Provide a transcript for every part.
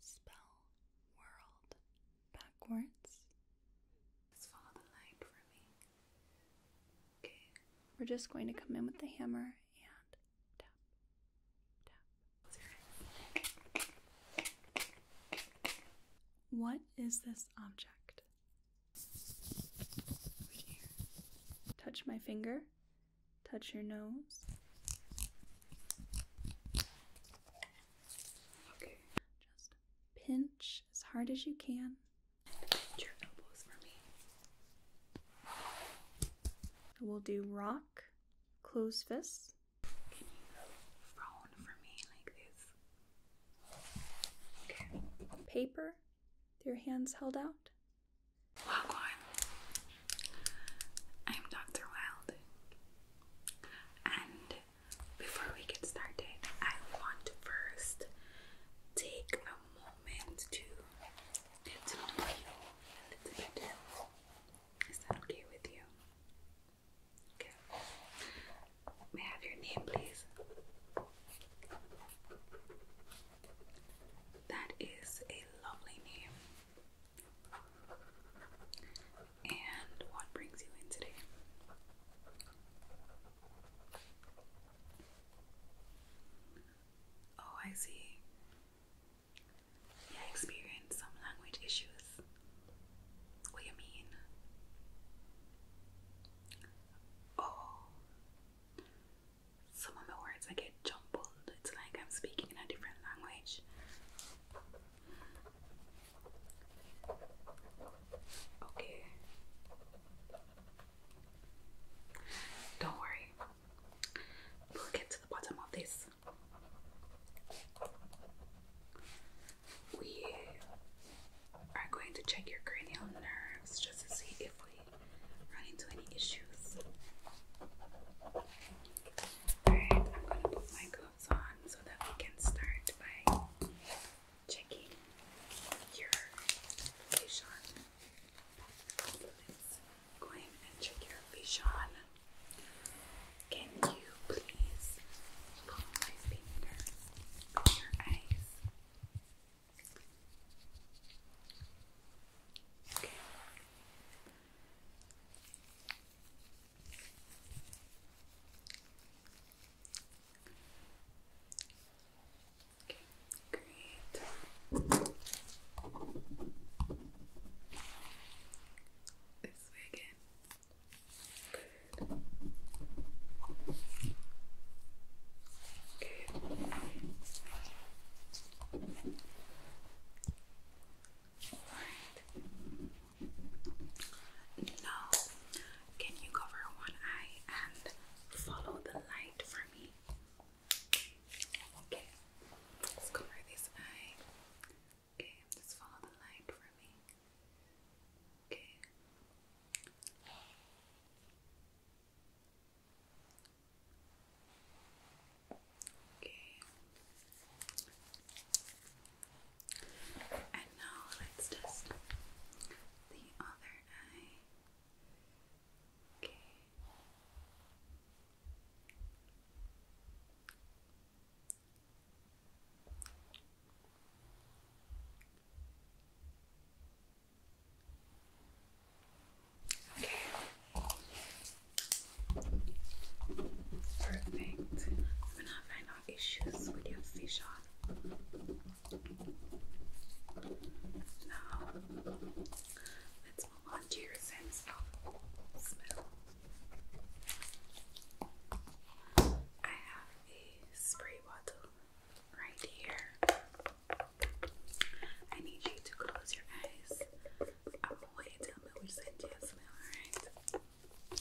Spell world backwards. Just follow the line for me. Okay. We're just going to come in with the hammer and tap, tap. What is this object? Touch my finger. Touch your nose. Okay. Just pinch as hard as you can. Your elbows for me. We'll do rock, close fists. Can you phone for me like this? Okay. Paper, your hands held out. Walk on. I'm Dr. Wild. And before we get started, I want to first take a moment to get to know you a little bit. Is that okay with you? Okay. May I have your name, please? That is a lovely name. And what brings you in today? Oh, I see. yeah, experience some language issues. What do you mean? Oh, some of my words I get jumbled. It's like I'm speaking in a different language. Okay. Don't worry. We'll get to the bottom of this. We are going to check your cranial nerves just to see if we run into any issues. Alright, I'm gonna put my goes so that we can start by checking your facial. So go in and check your facial. Can you please pull your eyes? Okay. Okay, great. This way again. Good. No. can you cover one eye and follow the light for me? Okay. Let's cover this eye. Okay, just follow the light for me. Okay. Okay. And now let's test the other eye. Okay. Okay. Perfect. We're not having no issues with your vision. Now, let's move on to your sense of smell. I have a spray bottle right here. I need you to close your eyes. I want you to tell me which scent you smell, alright? Okay.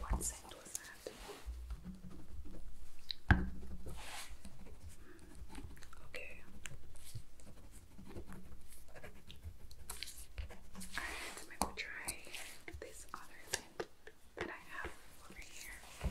Close Alright, so maybe try this other scent that I have over here.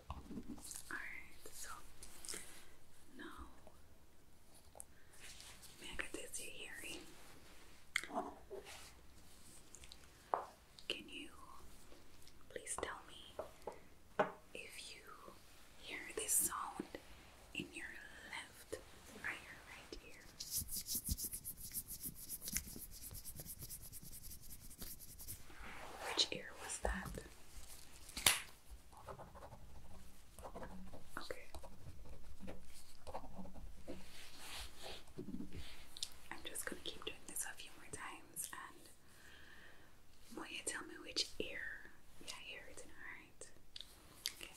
Alright, so now may I get this hearing? Can you please tell me if you hear this sound in your left ear, right ear? Which ear was that? Okay. I'm just gonna keep doing this a few more times and will you tell me which ear? Yeah, here it's Okay.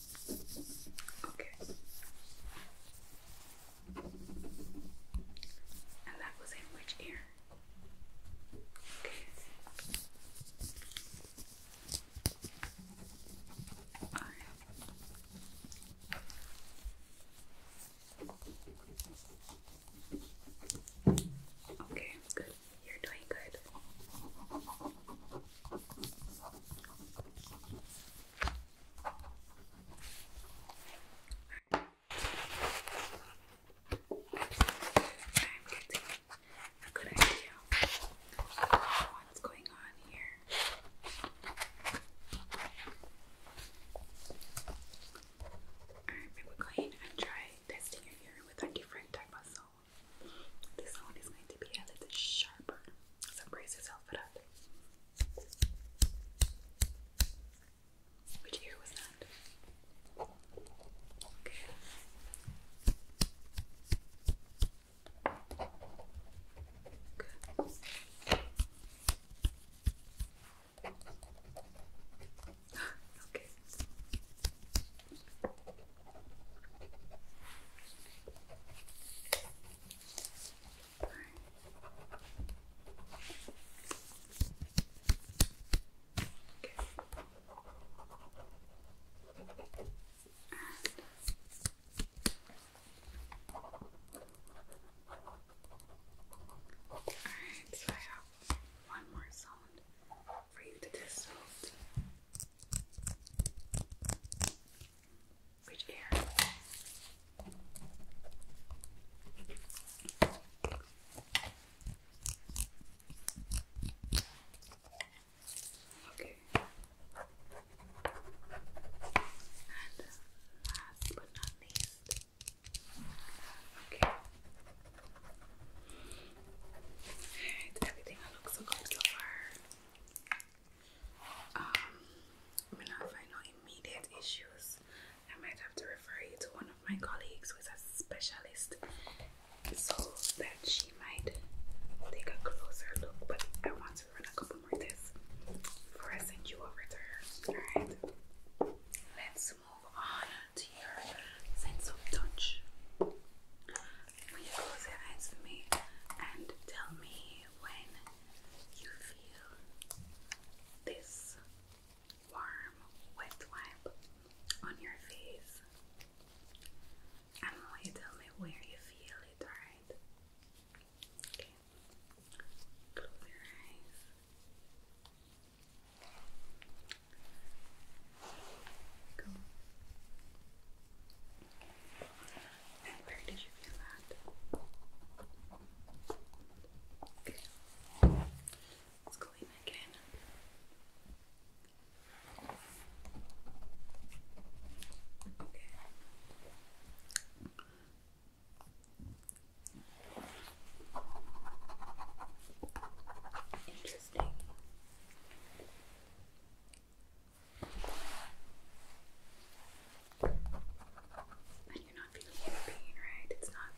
Okay. And that was in which ear? Okay. Okay, good. You're doing good. I'm Alright, we're going and try testing it here with a different type of salt. This one is going to be a little sharper, so brace yourself for that. Which ear was that? Okay. Good. okay. Alright, so I have one more sound for you to test which ear? Okay. And last but not least. Okay. Alright, everything looks so good so far. Um, I mean, if I know immediate issues, I might have to refer you to one of my colleagues who is a specialist so that she might take a closer look. But I want to run a couple more tests before I send you over to Alright, let's move on to your sense of touch. When you close your eyes for me and tell me when you feel this warm, wet wipe on your face? And will you tell me where you feel it, alright? Okay. Close your eyes. Go where did you feel that? Okay. Let's clean again. Okay. Interesting. And you're not feeling any pain, right? It's not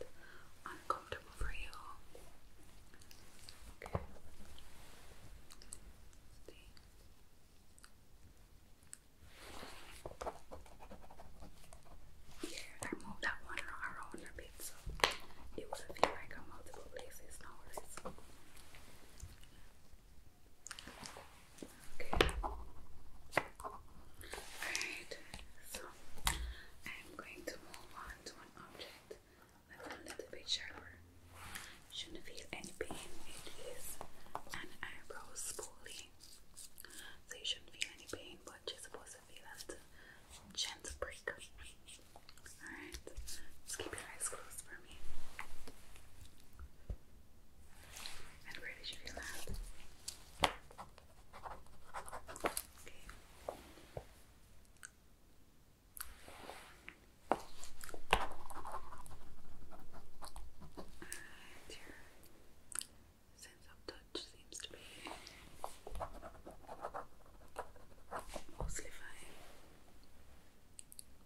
uncomfortable for you. Yeah, I moved that one around a bit, so it was feel like a multiple places, no Okay. Alright, so I'm going to move on to an object that's a little bit sharper. Shouldn't feel any pain. It is an eyebrow spoolie. So you shouldn't feel any pain, but you're supposed to feel that gentle break. Alright, just keep your eyes closed for me. And where did you land? Okay. And your sense of touch seems to be mostly fine.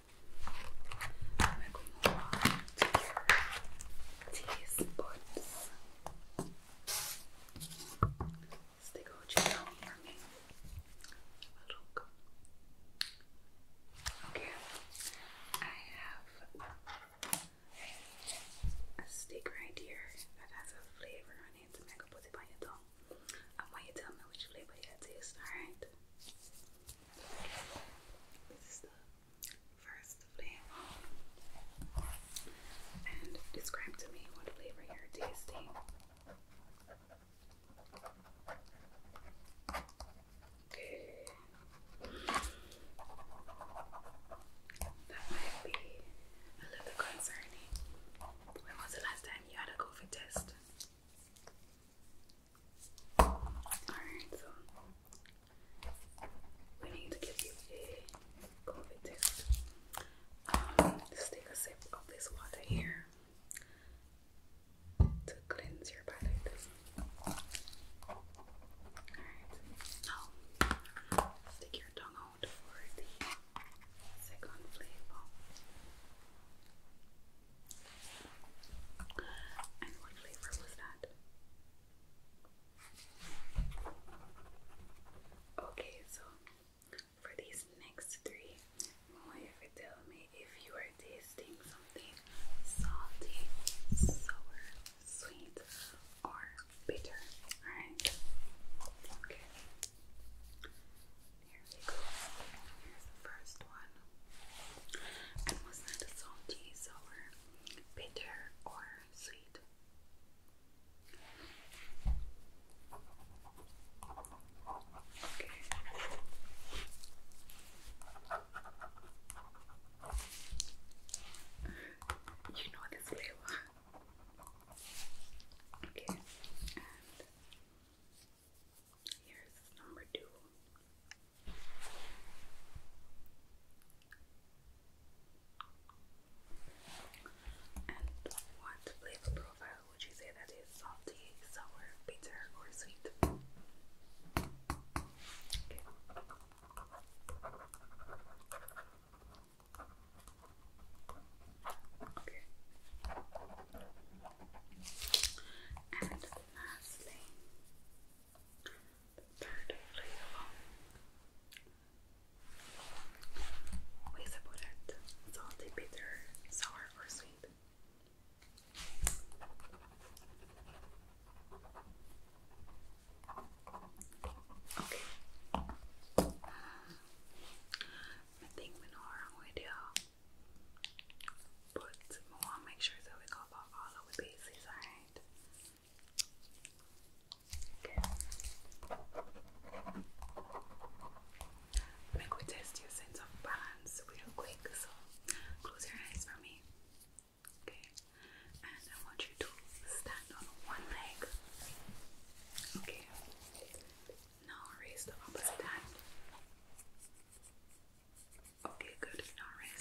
I'm gonna want teaspoons. Stick all down for me. Okay, I have a stick right here that has a flavor on it, and I put it on your tongue. And when you tell me which flavor you taste, alright? First And describe to me what flavor you're tasting. Okay. That might be a little concerning. When was the last time you had a COVID test? Alright, so we need to give you a COVID test. Um, just take a sip of this water here to cleanse your palate. Alright, now stick your tongue out for the second flavor. And what flavor was that? Okay, so for these next three, I you tell me if you are tasting something salty, sour, sweet, or bitter. Alright? Okay. Here we go. Here's the first one. And was that salty, sour, bitter or sweet. Okay. You know this flavor. Okay, here's number two. And what flavor profile would you say that is? Salty, sour, bitter, or sweet? Okay. And lastly, the third layer with a bullet, salty, bitter, sour, or sweet. Okay. Mending menorah video, but I want to make sure that we go all of the bases, alright? right. Okay. Make we test your sense of balance real quick. So close your eyes for me. Okay. And I want you to stand on one leg. Okay. Now raise the opposite hand. Okay, good. Now Alright,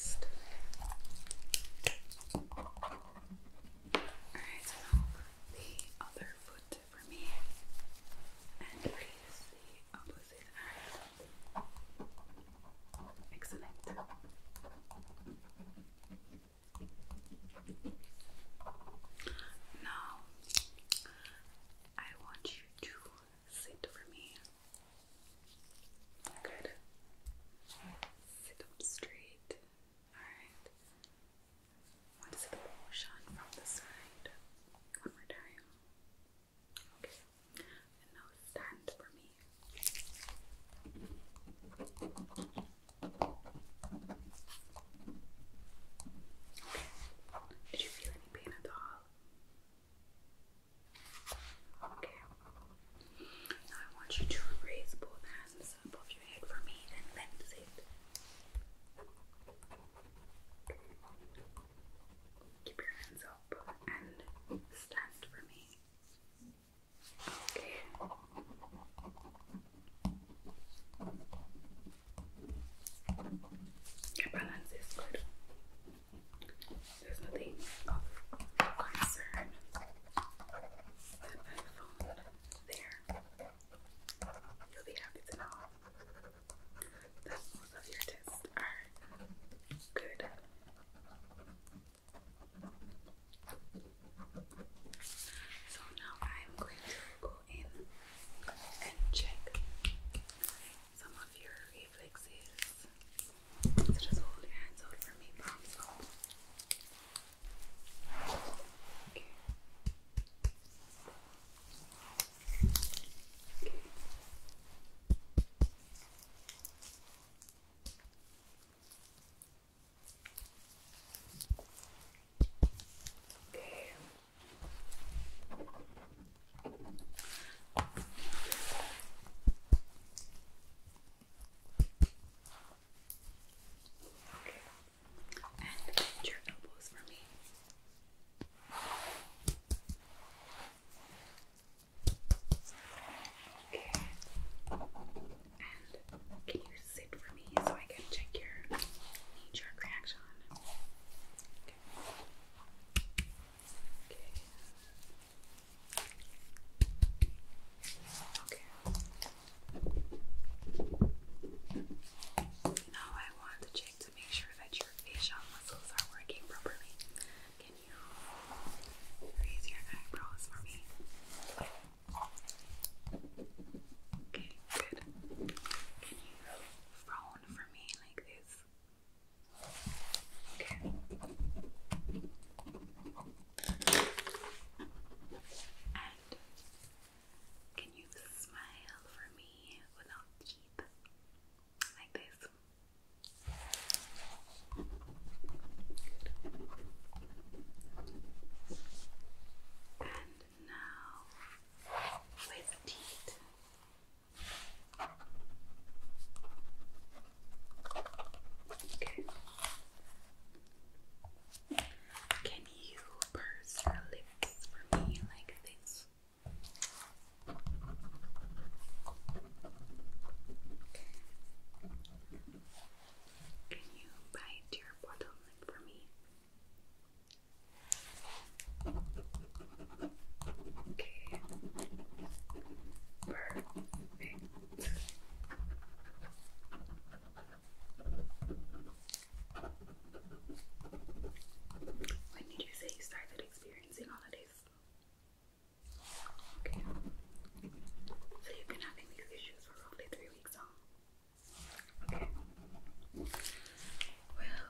so now the other foot for me. And release the opposite arm. Excellent. Now, I want you to sit for me Good. Sit up straight. Alright. Want the motion from the side? One more time. Okay. And now stand for me. Okay. Did you feel any pain at all? Okay. Now I want you to raise both hands above your head for me and bend it. Keep your hands up and stand for me. Okay. Your balance is good. There's nothing of concern with my there. You'll be happy to know that most of your tests are good. So now I'm going to go in and check some of your Playflix is. just hold your hands out for me, promise. Okay. Okay. And your elbows for me. Okay. And can you sit for me so I can check your knee jerk reaction? Okay. Okay. Now I want to check to make sure that your facial muscles are working properly. Can you raise your eyebrows for me? Okay, good. Can you frown for me like this? Okay. can you smile for me without teeth? Like this. And now with teeth. Okay. Can you purse your lips for me like this? Can you bite your bottom lip for me? Okay. Perfect. When did you say you started experiencing all of this? So you've been having these issues for roughly three weeks now. Well,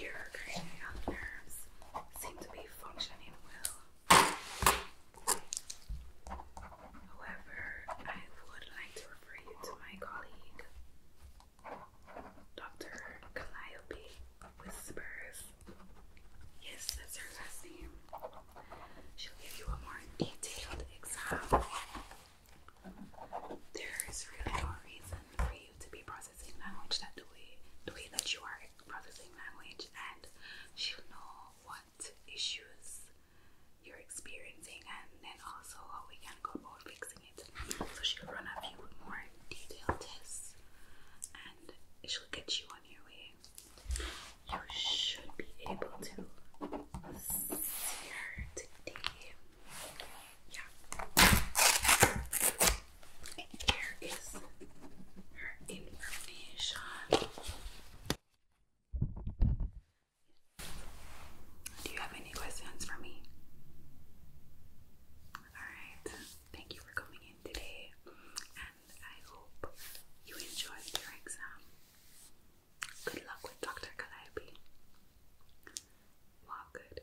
your cranial nerves seem to be functioning well. However, I would like to refer you to my colleague, Dr. Calliope Whispers. Yes, that's her last name. She'll give you a more detailed exam. There is really no reason for you to be processed language that the way the way that you are processing language and she'll know what issues you're experiencing and then also how we can go about fixing it. So she'll run a few more detailed tests and she'll get you on your way. You should be able to see her today. Yeah. Here is her information. Do you have any questions for me? Alright, thank you for coming in today, and I hope you enjoyed your exam. Good luck with Dr. Calliope. Walk good.